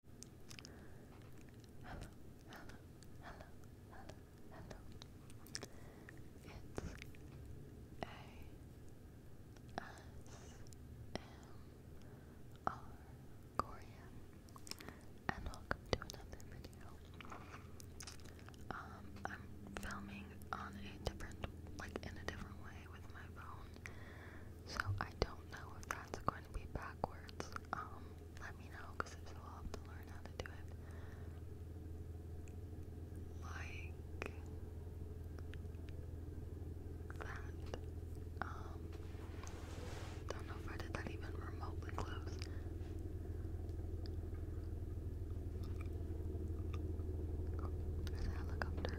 hello, hello, hello, hello. It's A S M R Korean, and welcome to another video. Um, I'm filming on a different, like in a different way with my phone so I don't know if that's going to be backwards. Um, let me know, because I'll have to learn how to do it. Like that. Um, don't know if I did that even remotely close. There's a helicopter.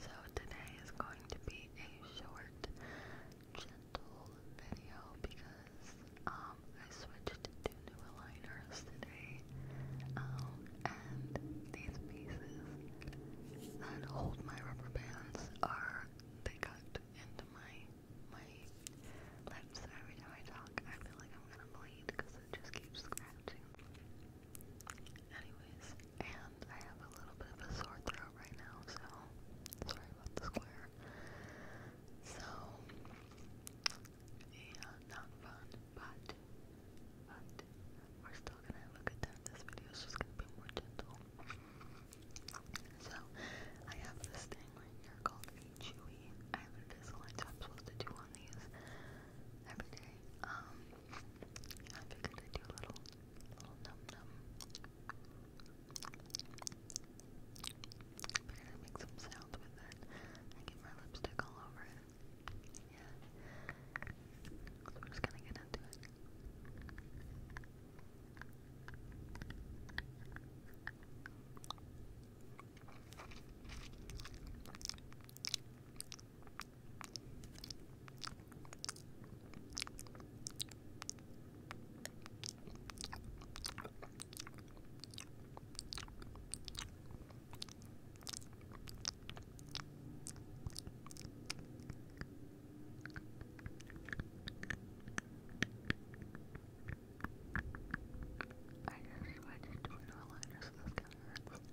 So today is going to be a short, gentle video because um I switched to new aligners today. Um, and these pieces that hold my rubber bands are they cut into my my lips every time I talk. I feel like I'm gonna bleed because it just keeps scratching. Anyways, and I have a little bit of a sore throat right now, so sorry about the square. So, yeah, not fun, but, but, we're still gonna have a good time. This video is just gonna be more gentle. So, I have this thing right here called chewy. I have an Invisalign, so I'm supposed to do one these every day. Um, I figured i do a little, little num num. I i make some sounds with it. I get my lipstick all over it. Yeah. So we're just gonna get into it. I just, I just don't know how to this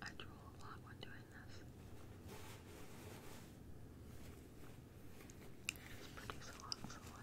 I drool a lot when doing this. just produce a lot saliva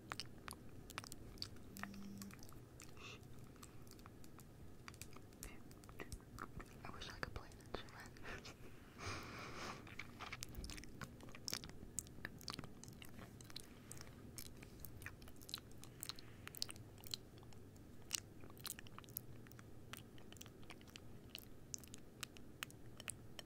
I wish I could play an instrument.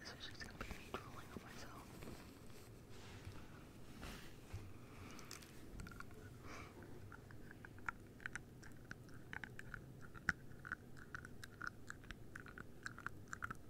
This is just gonna be me drooling on myself.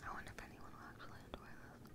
I wonder if anyone will actually enjoy this.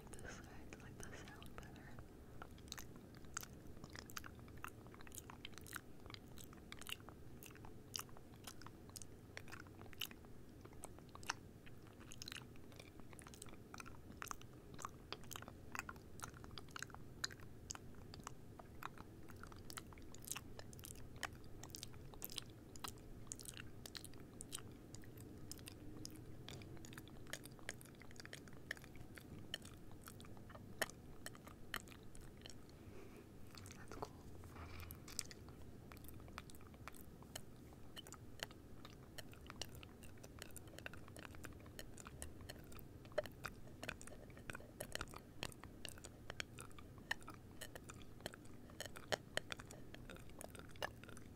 like this side, like the sound better. That's cool.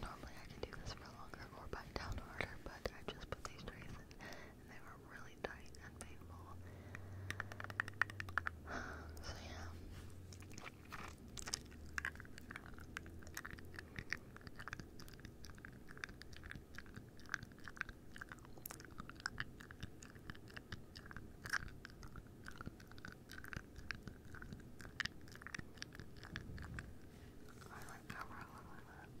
Normally I could do this for longer or bite down harder, but I just put these trays in and they were really tight and painful. So yeah. I like cover a little bit under it.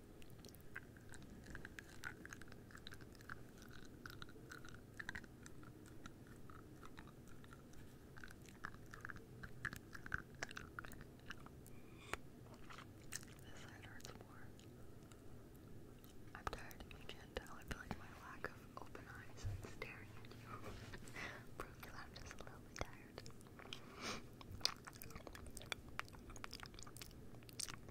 This side hurts more. I'm tired of you, Chantel. I feel like my lack of open eyes staring at you proves I'm just a tired.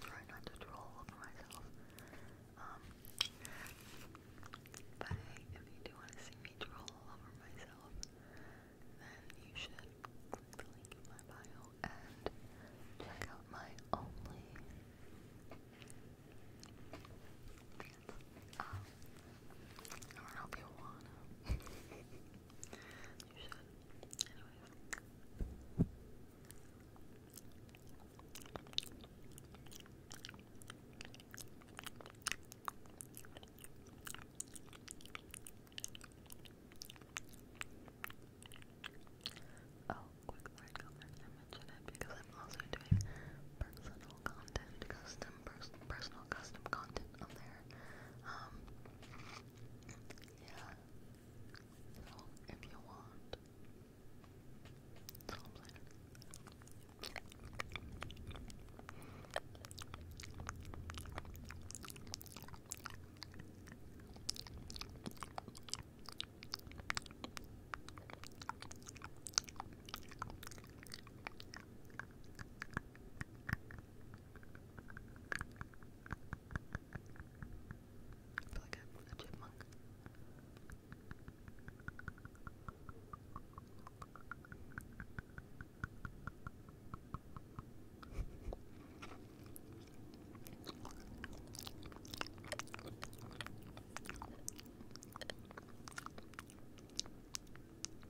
Try not to drool over myself. Um, but if you do want to see me drool over myself, then you should click the link in my bio and check out my only um, I don't know if you wanna. You Oh, quick word comment. I mentioned it because I'm also doing personal content, custom pers personal custom content on there. Yeah. Well, if you want. That's I feel like a, a chipmunk.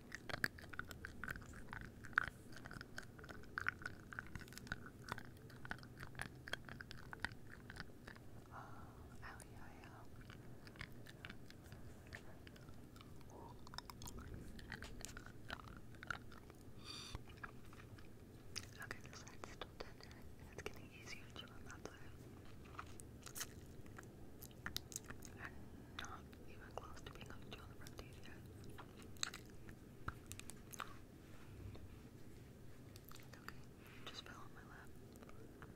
Okay, this side's still tender and it's getting easier to chew on that side. And not even close to being able to on the front teeth yet. Okay, just fell on my lap. Right,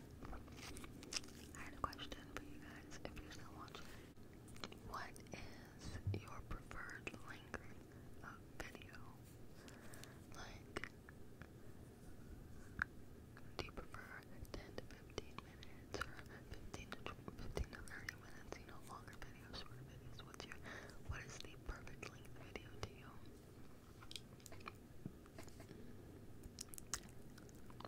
I had a question for you guys if you're still watching. What is your preferred length of video? Like, do you prefer 10 to 15 minutes or 15 to, 15 to 30 minutes? You know, longer videos, shorter videos. What's your, what is the perfect length video to you?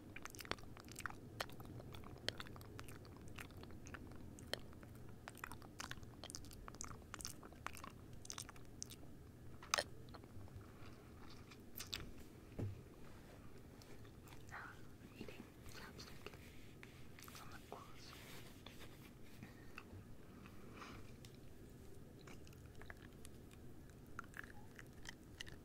Now I'm eating slapstick on the claws.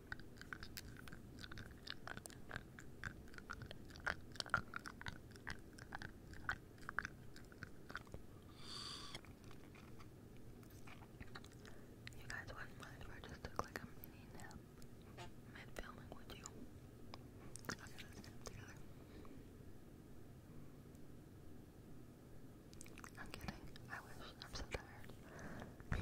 You guys wouldn't mind if I just took like a mini nap mid filming, would you? let's nap together. I'm kidding. I wish. I'm so tired. I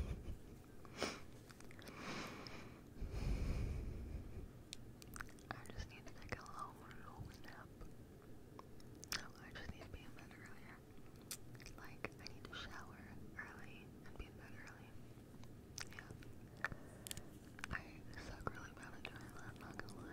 just need to take a long, nap. Oh, I just need to be in bed earlier. Like, I need to shower early and be in bed early. Yeah. I suck really bad at doing not to lie.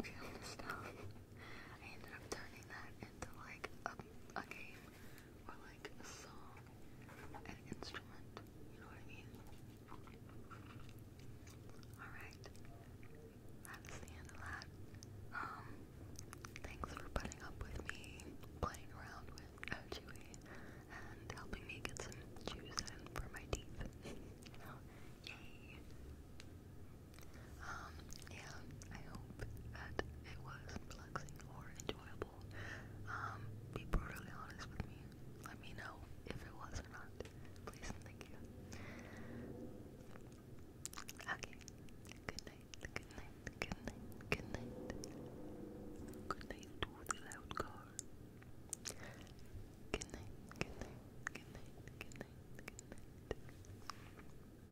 Okay, I'm just down. I ended up turning that into like a, a game or like a song, an instrument, you know what I mean? Alright, that's the end of that. Um, thanks for putting up with me playing around with Chewy and helping me get some juice in for my teeth. you know, yay! Um, yeah, I hope that it was relaxing or enjoyable. Um, be brutally honest with me. Let me know if it was or not. Please thank you. Okay. Good night. Good night. Good night. Good night. Good night to the loud car. Good night. Good night. Good night. Good night. Good night.